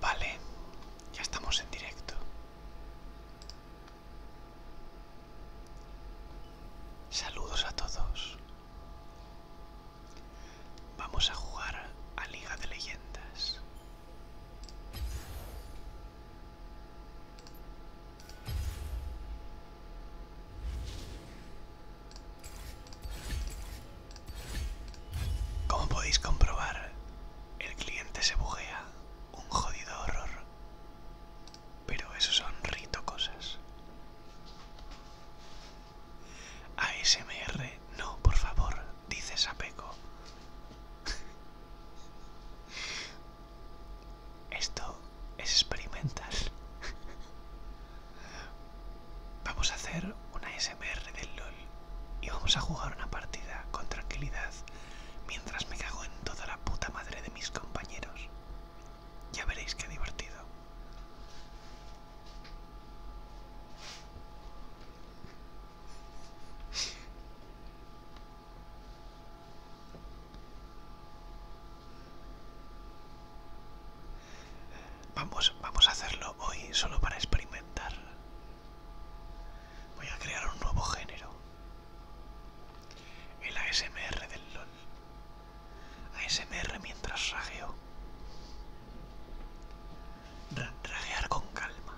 Vale, ya estamos en directo. Saludos a todos. Vamos a jugar a Liga de Leyendas. Como podéis comprobar, el cliente se bugea, un jodido horror. Pero eso son rito cosas. ASMR, no, por favor, dice Sapeco. Esto es experimental. Vamos a hacer una ASMR del LOL y vamos a jugar una partida con tranquilidad mientras me cago en toda la puta madre de mis compañeros. Ya veréis qué divertido. Vamos, vamos a hacerlo hoy solo para experimentar. Voy a crear un nuevo género. El ASMR del LOL. A ASMR mientras rageo. Ragear con calma.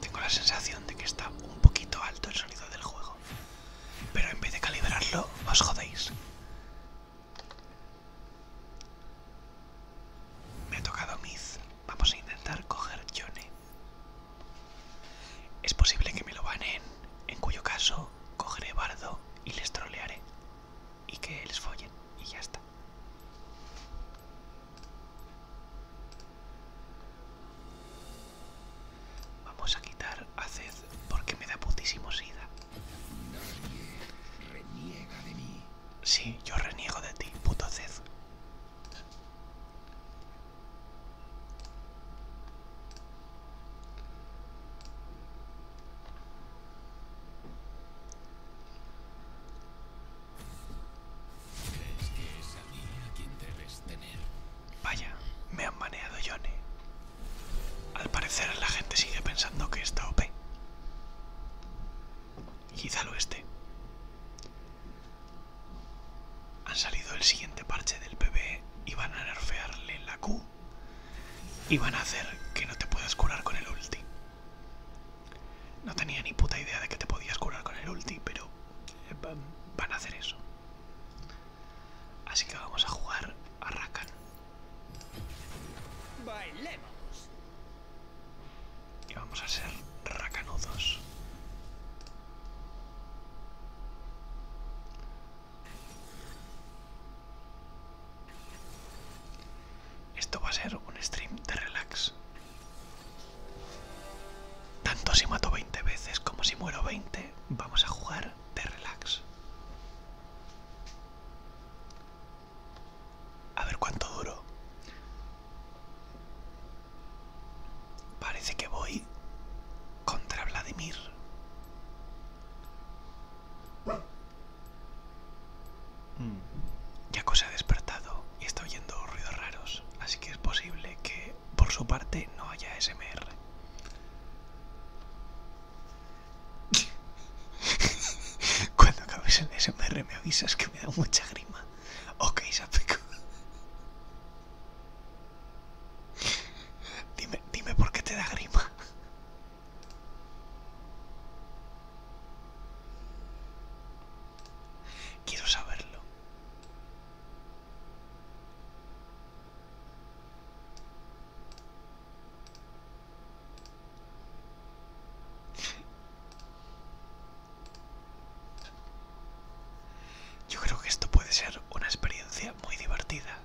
Tengo la sensación de que está un poquito alto el sonido del juego, pero en vez de calibrarlo, os jodéis. Me ha tocado Miz. Vamos a intentar coger Johnny. Es posible que me lo banen, en cuyo caso cogeré Bardo y les trolearé. Y que les follen. Y ya está. Vamos a quitar a porque me da putísimo sida. Nadie reniega de mí. Sí, yo reniego de ti, puto Zed. ¿Crees que es a mí a quien debes tener? Vaya, me han baneado Johnny. Al parecer la gente sigue pensando que está OP. Quizá lo esté. Han salido el siguiente parche del PB y van a nerfearle la Q y van a hacer que no te puedas curar con el ulti. No tenía ni puta idea de que te podías curar con el ulti, pero eh, van a hacer eso. Así que vamos a jugar a Rakan. Bailemos. Y vamos a ser rakanudos. Esto va a ser un stream de relax. Tanto si mato 20 veces como si muero 20, vamos a jugar de relax. A ver cuánto duro. Parece que voy contra Vladimir. Yaco se ha despertado y está oyendo ruidos raros, así que es posible que por su parte no haya SMR. Cuando acabes el SMR me avisas que me da mucha grima. Ok, Sapeco. Dime, dime por qué te da grima. Quiero saberlo. Yo creo que esto puede ser una experiencia muy divertida.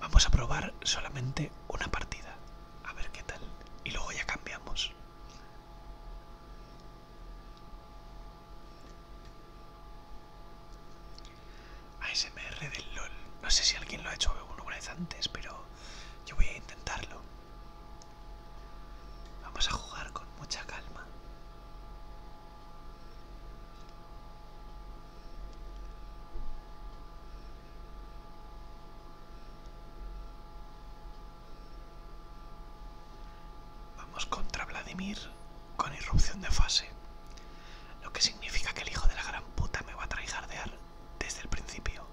Vamos a probar solamente una partida, a ver qué tal, y luego ya cambiamos. ASMR del LOL. No sé si alguien lo ha hecho alguna vez antes, pero yo voy a intentarlo. Vamos a jugar con mucha calma. Vamos contra Vladimir con irrupción de fase, lo que significa que el hijo de la gran puta me va a traijardear desde el principio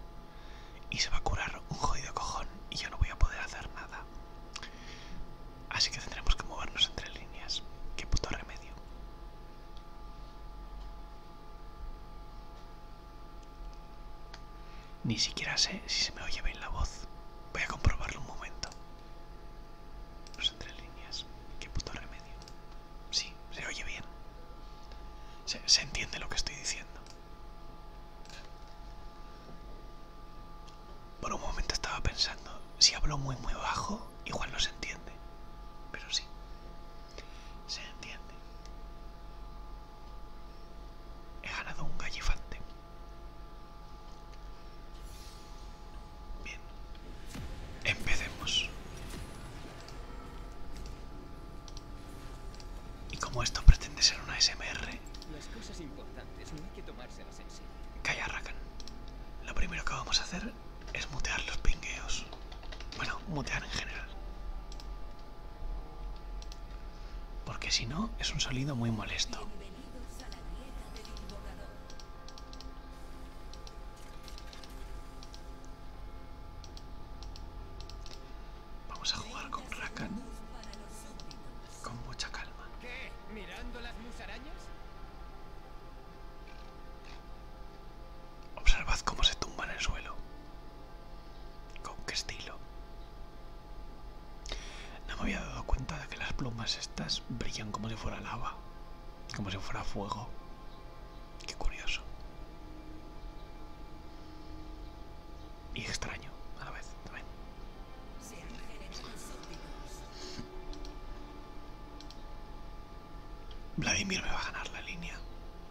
y se va a curar un jodido cojón y yo no voy a poder hacer nada. Así que tendremos que movernos entre líneas. Qué puto remedio. Ni siquiera sé si se me oye bien la voz. Voy a comprobarlo un momento son entre líneas. Qué puto remedio. Sí, se oye bien. Se, se entiende lo que estoy diciendo. Por un momento estaba pensando, si hablo muy muy bajo, igual no se entiende. Pero sí. Se entiende. He ganado un gallifante. Bien, empecemos. Y como esto pretende ser una SMR, Calla, Rakan. Lo primero que vamos a hacer es mutear los pingueos. Bueno, mutear en general. Porque si no, es un sonido muy molesto. Vamos a jugar con Rakan con mucha calma. ¿Qué? ¿Mirando las musarañas? Observad cómo se tumba en el suelo. Con qué estilo. No me había dado cuenta de que las plumas estas brillan como si fuera lava. Como si fuera fuego. Qué curioso. Y extraño a la vez Vladimir me va a ganar la línea.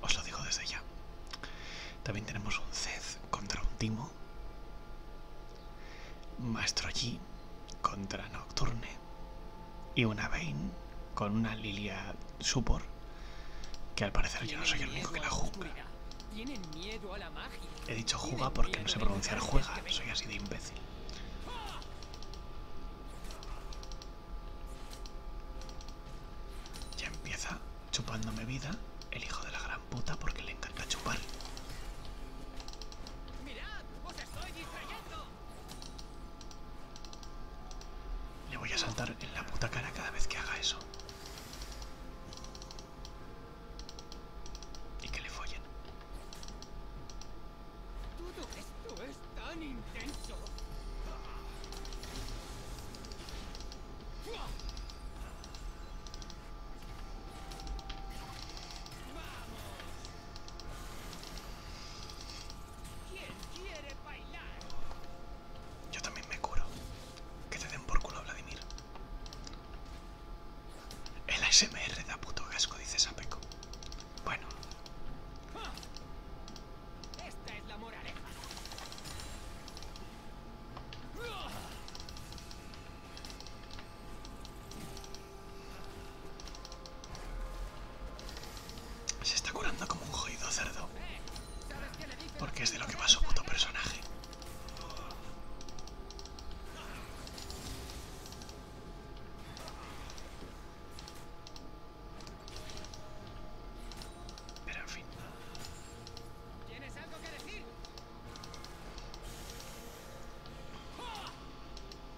Os lo digo desde ya. También tenemos un Zed contra un Timo maestro G contra Nocturne y una Vayne con una Lilia Supor, que al parecer yo no soy el único que la juega. He dicho juega porque no sé pronunciar juega, soy así de imbécil. Ya empieza chupándome vida el hijo de la gran puta porque le encanta chupar. Le voy a saltar en la puta cara cada vez que haga eso. Y que le follen. Todo esto es tan intenso. ¡Vamos! Yo también me curo. Que te den por culo Vladimir. El ASMR da puto gasco, dice Sapeco. Bueno. Esta es la moraleja. Se está curando como un jodido cerdo. Porque es de lo que va su puto personaje. Pero en fin.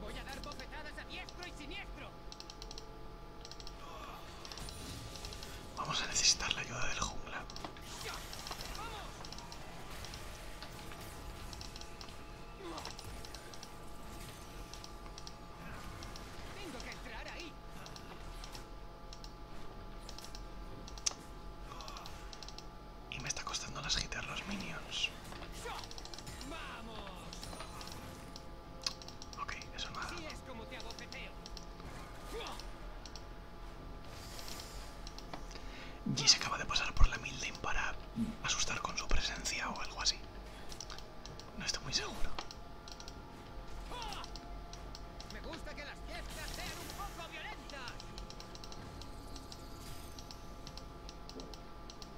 Voy a dar bofetadas a diestro y siniestro. Vamos a necesitar la ayuda del jungla. Tengo que entrar ahí. Y me está costando las gitar los minions. Ok, eso nada. es como te acaba de pasar por la Milden para asustar con su presencia o algo así. No estoy muy seguro. Me gusta que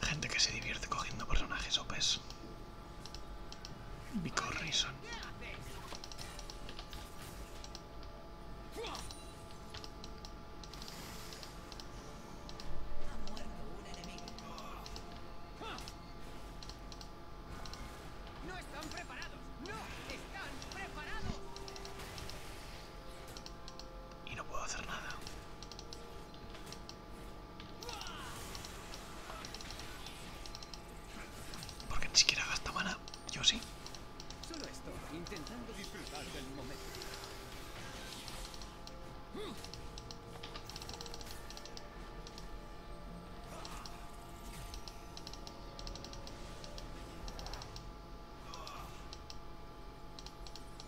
Gente que se divierte cogiendo personajes No están preparados. Y no puedo hacer nada. Porque ni siquiera gasta mana, yo sí. Solo estoy intentando disfrutar del momento.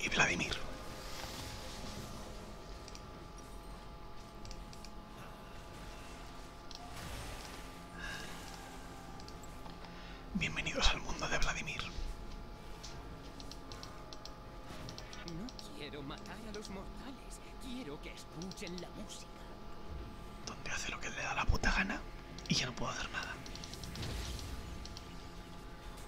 y Vladimir. Bienvenidos al mundo de Vladimir. No quiero matar a los mortales, quiero que escuchen la música. Donde hace lo que le da la puta gana y ya no puedo hacer nada.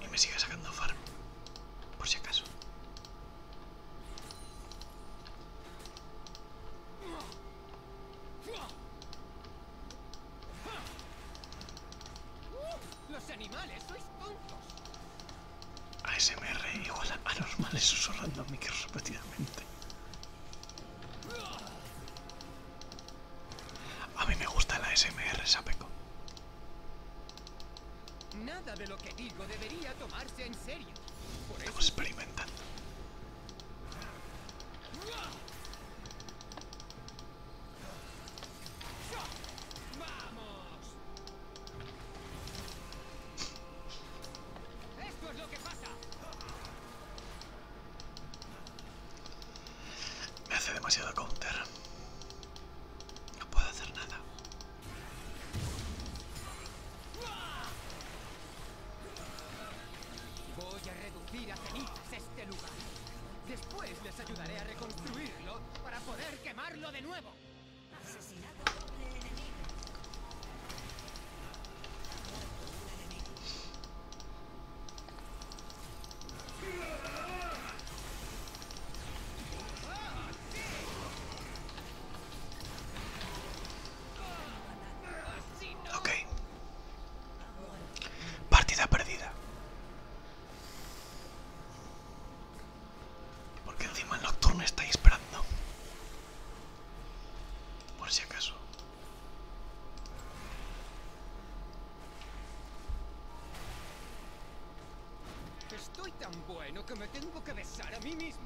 Y me sigue sacando farm, por si acaso. Los animales sois ASMR igual a anormales susurrando a repetidamente. A mí me gusta la ASMR, Sapeco. Nada de lo que digo debería tomarse en serio. Por ¡Vamos! Esto es lo que pasa. Me hace demasiado counter. No puedo hacer nada. Voy a reducir a cenizas este lugar. Después les ayudaré a reconstruirlo para poder quemarlo de nuevo. Asesinato doble enemigo. Ok. Partida perdida. Porque encima el nocturno está esperando. Por si acaso. Estoy tan bueno que me tengo que besar a mí mismo.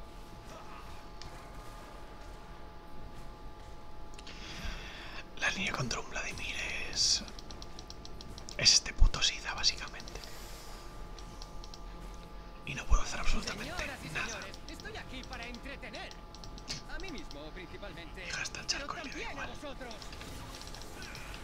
La línea contra un Vladimir es... Es este puto SIDA, básicamente. Y no puedo hacer absolutamente Señoras nada. Señores, estoy aquí para entretener. A mí mismo, principalmente. Y el charco y le da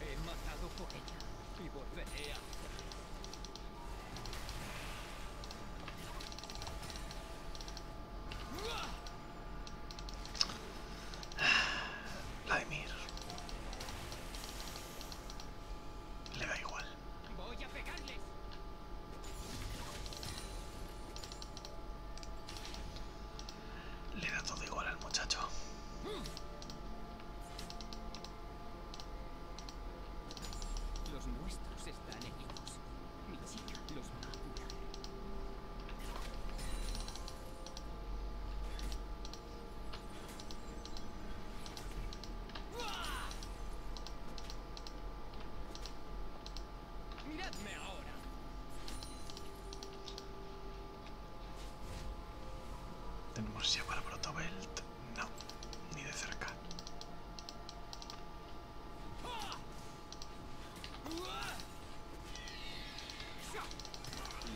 He matado por ella y volveré a Vladimir. Le da igual. Voy a pegarles. Le da todo igual al muchacho. Los nuestros están heridos. Mi chica los va a curar. Miradme ahora. ¿Tenemos ya para Protobelt? No, ni de cerca.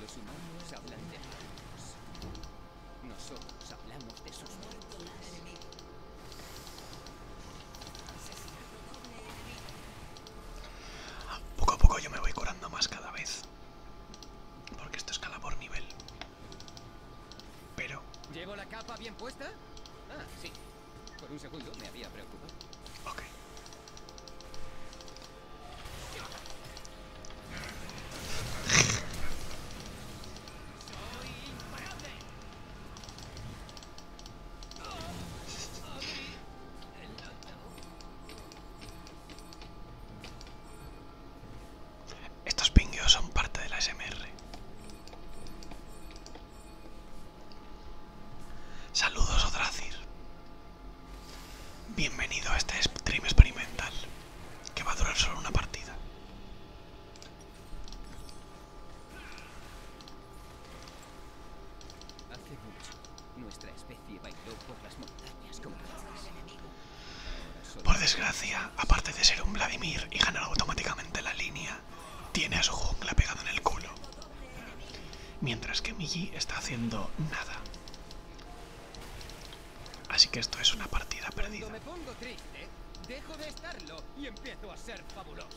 Los humanos hablan de muertos. Nosotros hablamos de sus muertos. Poco a poco yo me voy curando más cada vez. Porque esto escala por nivel. Pero... ¿Llevo la capa bien puesta? Ah, sí. Por un segundo me había preocupado. Ok. Estos pingueos son parte de la SMR. Saludos, Odracir. Bienvenido a este stream experimental, que va a durar solo una partida por desgracia, aparte de ser un Vladimir y ganar automáticamente la línea, tiene a su jungla pegado en el culo. Mientras que Migi está haciendo nada. Así que esto es una partida perdida. me pongo triste, dejo de estarlo y empiezo a ser fabuloso.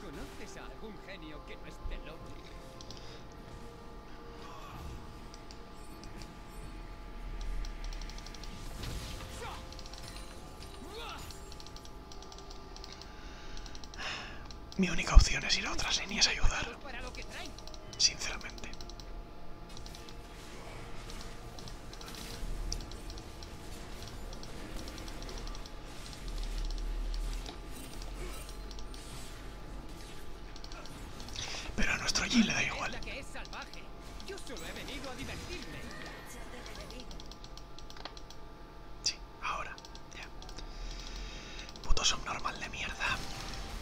¿Conoces a algún genio que no esté loco? Mi única opción es ir a otras líneas es ayudar. Sinceramente. Pero a nuestro Gil le da igual. Sí, ahora, ya. Puto subnormal de mierda.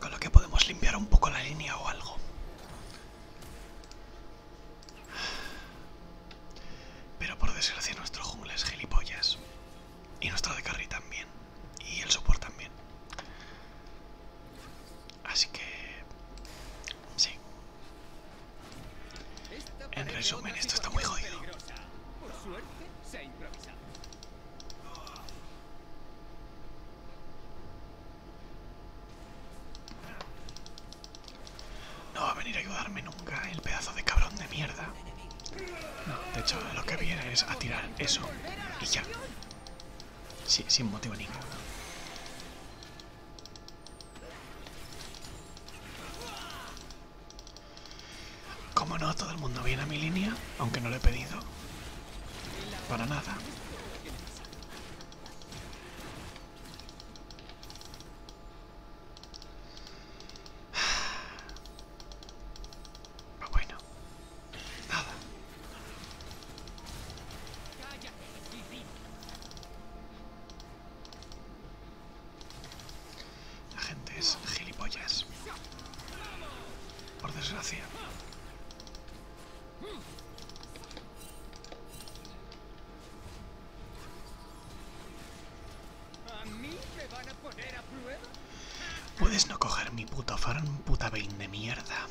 con lo que podemos limpiar un poco la línea o algo. Pero por desgracia nuestro jungla es gilipollas. Y nuestro de carry también. Y el support también. Así que... Sí. En resumen, esto está muy jodido. No va a venir a ayudarme nunca el pedazo de cabrón de mierda. No, de hecho lo que viene es a tirar eso y ya. sin motivo ninguno. Cómo no, todo el mundo viene a mi línea, aunque no le he pedido. Para nada. Ah, bueno, nada. La gente es gilipollas. Por desgracia. Puedes no coger mi puta farm, puta vein de mierda.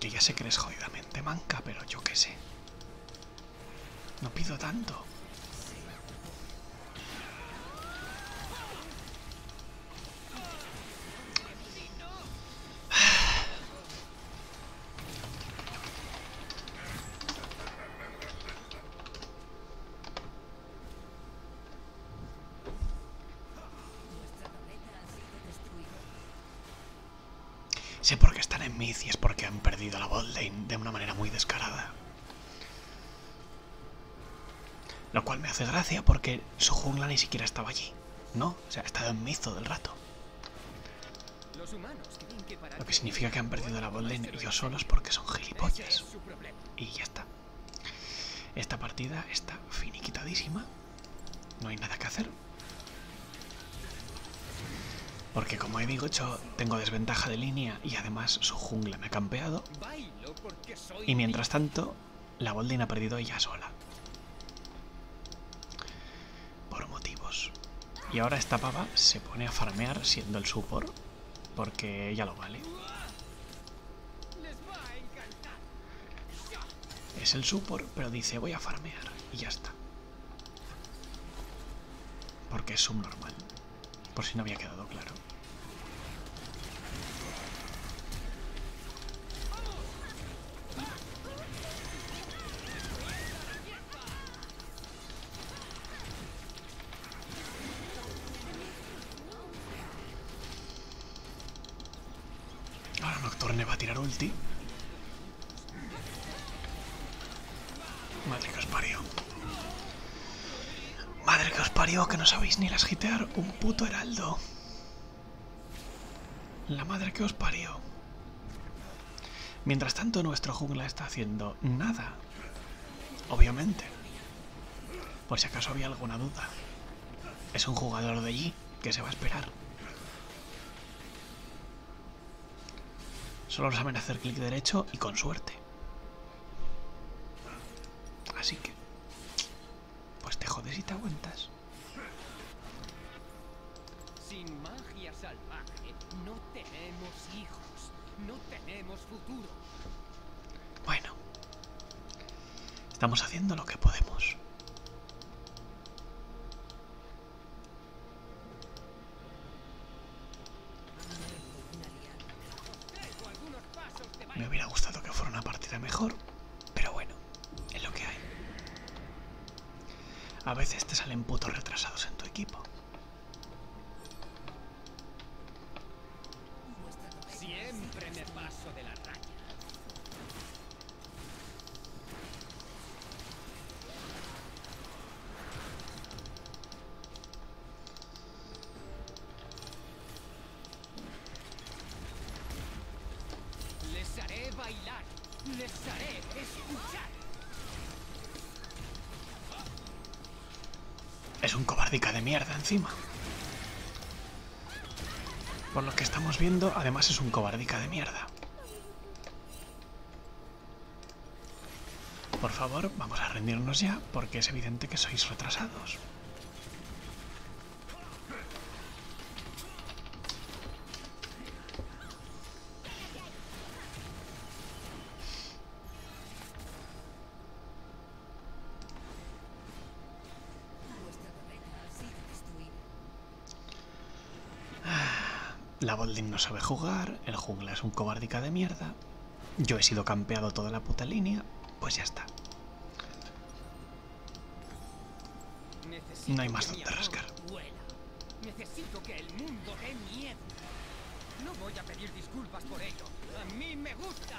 Que ya sé que eres jodidamente manca, pero yo qué sé. No pido tanto. Sé por qué están en mid y es porque han perdido la botlane de una manera muy descarada. Lo cual me hace gracia porque su jungla ni siquiera estaba allí, ¿no? O sea, ha estado en todo del rato. Lo que significa que han perdido la en ellos solos porque son gilipollas. Y ya está. Esta partida está finiquitadísima. No hay nada que hacer. Porque como he dicho, tengo desventaja de línea y además su jungla me ha campeado. Y mientras tanto, la Boldin ha perdido ella sola. Por motivos. Y ahora esta pava se pone a farmear siendo el Supor, porque ella lo vale. Es el Supor, pero dice voy a farmear y ya está. Porque es subnormal. Por si no había quedado claro. Ahora Nocturne va a tirar ulti. Madre que Madre que os parió, que no sabéis ni las gitear. Un puto heraldo. La madre que os parió. Mientras tanto, nuestro jungla está haciendo nada. Obviamente. Por si acaso había alguna duda. Es un jugador de allí que se va a esperar. Solo saben hacer clic derecho y con suerte. Así que, pues te jodes y te aguantas. Sin magia salvaje no tenemos hijos, no tenemos futuro. Bueno, estamos haciendo lo que podemos. Me hubiera gustado que fuera una partida mejor, pero bueno, es lo que hay. A veces te salen putos retrasados en tu equipo. Siempre paso de les haré bailar. Les haré escuchar. Es un cobardica de mierda encima. Por lo que estamos viendo, además es un cobardica de mierda. Por favor, vamos a rendirnos ya, porque es evidente que sois retrasados. Ah, la Bolding no sabe jugar, el jungla es un cobardica de mierda. Yo he sido campeado toda la puta línea, pues ya está. No hay más Necesito que el mundo dé miedo. No voy a pedir disculpas por ello. A mí me gusta.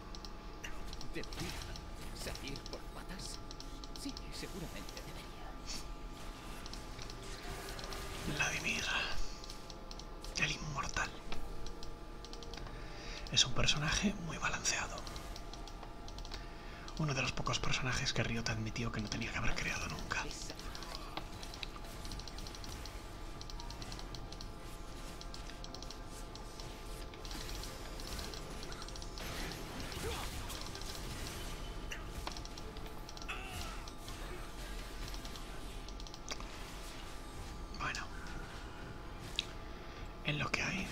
¿Debería salir por patas? Sí, seguramente debería. Vladimir, el inmortal. Es un personaje muy balanceado. Uno de los pocos personajes que Ryota admitió que no tenía que haber creado nunca. Bueno, en lo que hay.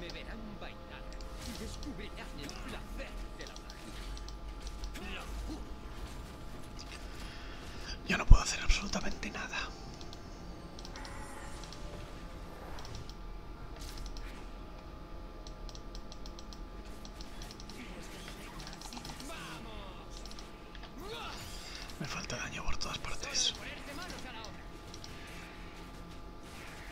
Me verán bailar y descubrirán el placer de la yo no puedo hacer absolutamente nada. Me falta daño por todas partes.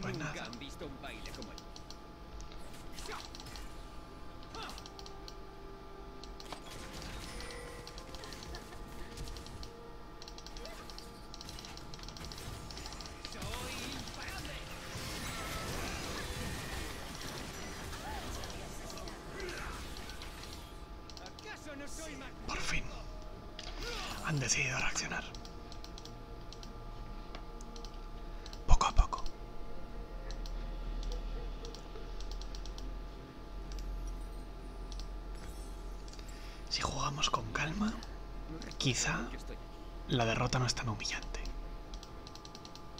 Pues nada. han visto un baile como el... Soy imparable. Por fin. Han decidido reaccionar. Poco a poco. Si jugamos con calma, quizá la derrota no es tan humillante.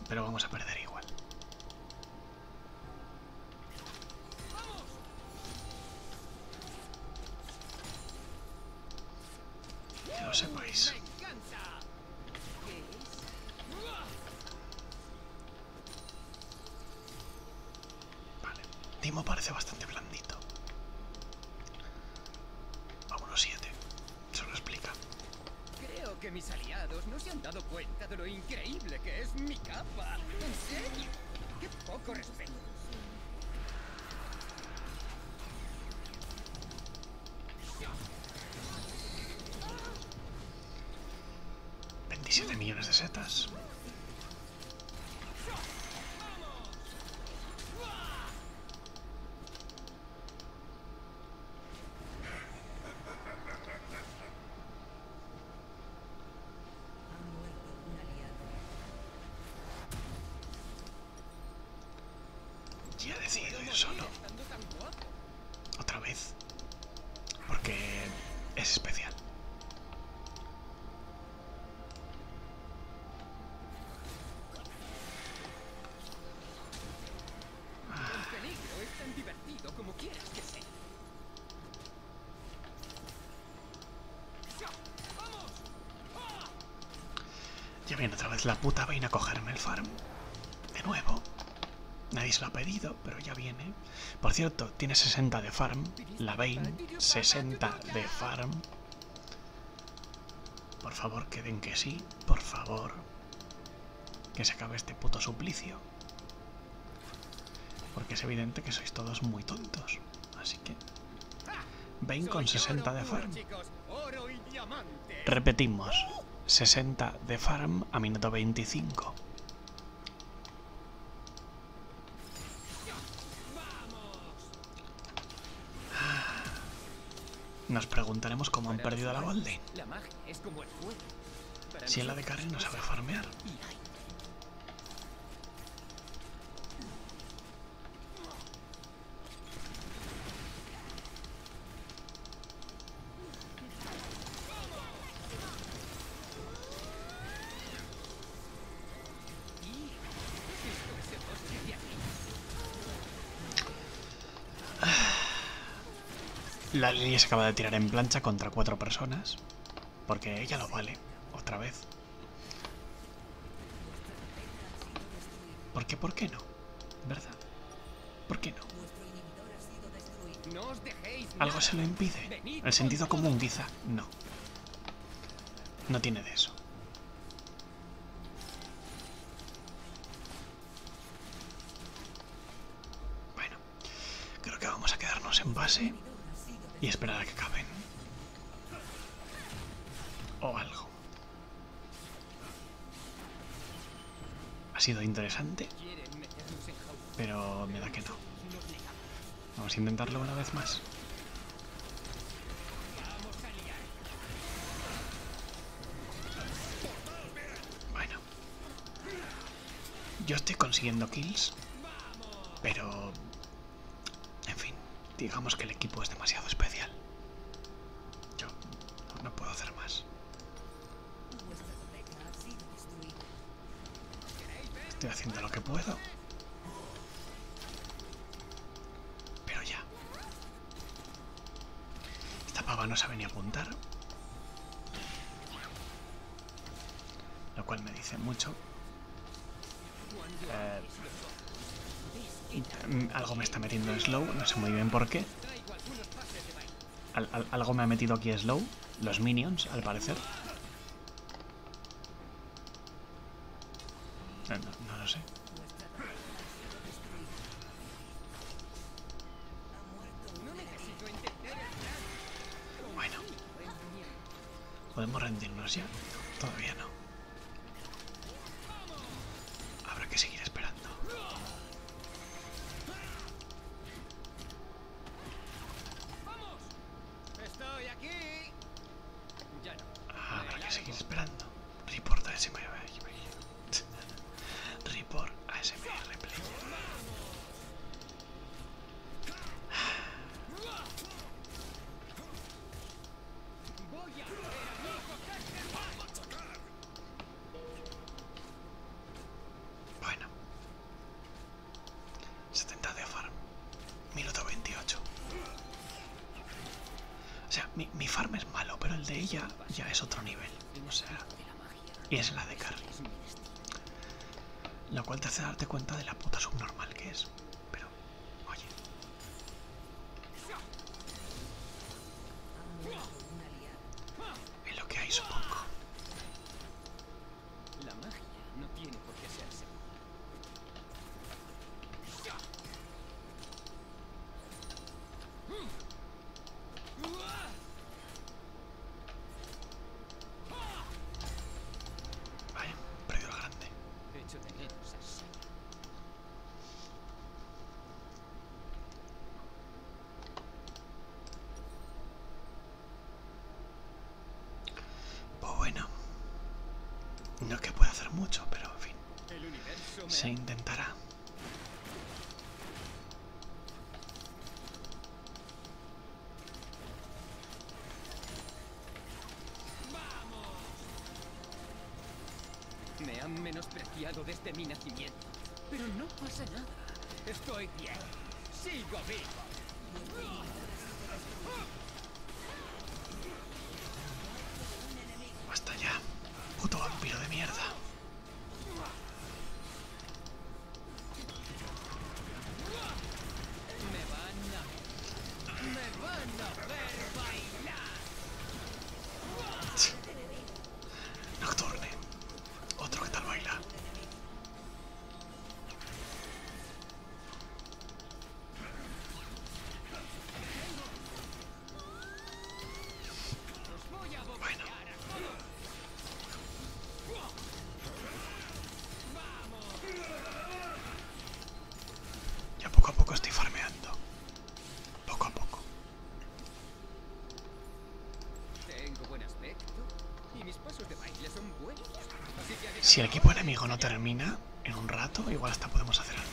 Pero vamos a perder igual. Que lo sepáis. Vale, Timo parece bastante blandito. A siete. se lo explica. Creo que mis aliados no se han dado cuenta de lo increíble que es mi capa. ¿En serio? ¡Qué poco respeto! ¿27 millones de setas? Ya decidido ir solo. Otra vez. Porque es especial. Ya viene otra vez la puta vaina a cogerme el farm. De nuevo. Nadie se lo ha pedido, pero ya viene. Por cierto, tiene 60 de farm. La Vayne, 60 de farm. Por favor, que den que sí. Por favor. Que se acabe este puto suplicio. Porque es evidente que sois todos muy tontos. Así que... Ven con 60 de farm. Repetimos. 60 de farm a minuto 25. Nos preguntaremos cómo han perdido a la Golden. Si en la de karen no sabe farmear. La línea se acaba de tirar en plancha contra cuatro personas. Porque ella lo vale. Otra vez. ¿Por qué? ¿por qué no? ¿Verdad? ¿Por qué no? Algo se lo impide. El sentido común, quizá. No. No tiene de eso. Bueno, creo que vamos a quedarnos en base y esperar a que acaben. O algo. Ha sido interesante, pero me da que no. Vamos a intentarlo una vez más. Bueno. Yo estoy consiguiendo kills, pero... En fin, digamos que el equipo es demasiado especial. Yo no puedo hacer más. Estoy haciendo lo que puedo. Pero ya. Esta pava no sabe ni apuntar. Lo cual me dice mucho. Eh, mm, algo me está metiendo en slow, no sé muy bien por qué. algo me ha metido aquí slow. Los minions, al parecer. Eh, no, lo sé. Bueno. ¿Podemos rendirnos ya? todavía no. Habrá que seguir esperando. Ah, habrá que seguir esperando. Reporta ese Report ASMR Bueno, 70 de farm, minuto 28. O sea, mi, mi farm es malo, pero el de ella ya es otro nivel. O sea, y es la de Carly. la cual te hace darte cuenta de la puta subnormal que es. Pero, oye. Es lo que hay, supongo. La magia no tiene por qué hacerse. Vaya, perdido la grande. Pues bueno, no es que pueda hacer mucho, pero en fin, se intentará. Me han menospreciado desde mi nacimiento. Pero no pasa nada. Estoy bien. Sigo vivo. Basta ya. Puto vampiro de mierda. Me van a, me van a ver bailar. Nocturne, otro que tal baila. abogado. Ya poco a poco estoy farmeando. Poco a poco. si el equipo enemigo no termina en un rato, igual hasta podemos hacer algo.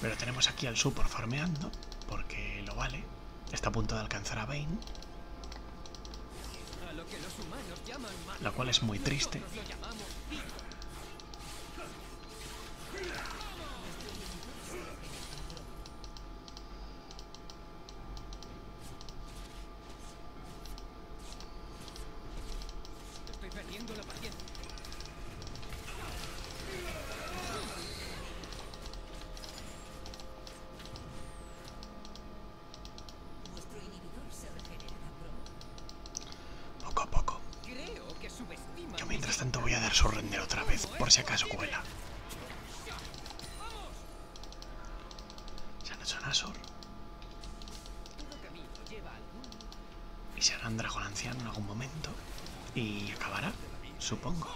Pero tenemos aquí al support farmeando, porque lo vale. Está a punto de alcanzar a Bane. Lo cual es muy triste. Poco a poco. Yo mientras tanto voy a dar su render otra vez, por si acaso cuela. Se han hecho sol y se hará un dragón anciano en algún momento. Y acabará, supongo.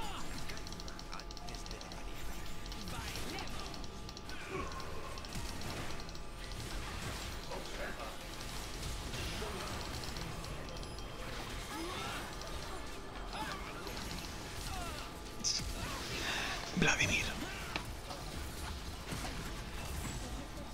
Vladimir.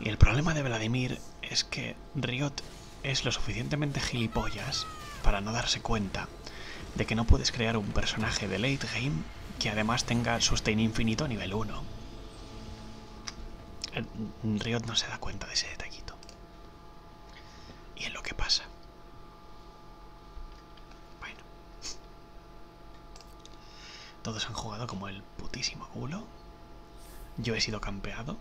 Y el problema de Vladimir es que Riot es lo suficientemente gilipollas para no darse cuenta de que no puedes crear un personaje de late game que además tenga sustain infinito a nivel 1. Mm, Riot no se da cuenta de ese detallito. Y es lo que pasa. Bueno. Todos han jugado como el putísimo culo. Yo he sido campeado.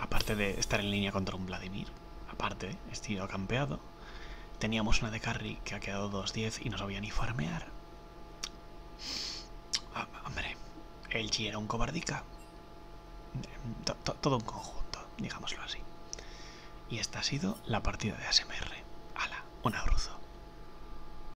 Aparte de estar en línea contra un Vladimir. Aparte, he sido campeado. Teníamos una de carry que ha quedado 2-10 y no sabía ni farmear. Ah, hombre, el G era un cobardica. Todo un conjunto, digámoslo así. Y esta ha sido la partida de ASMR. Ala, un abruzo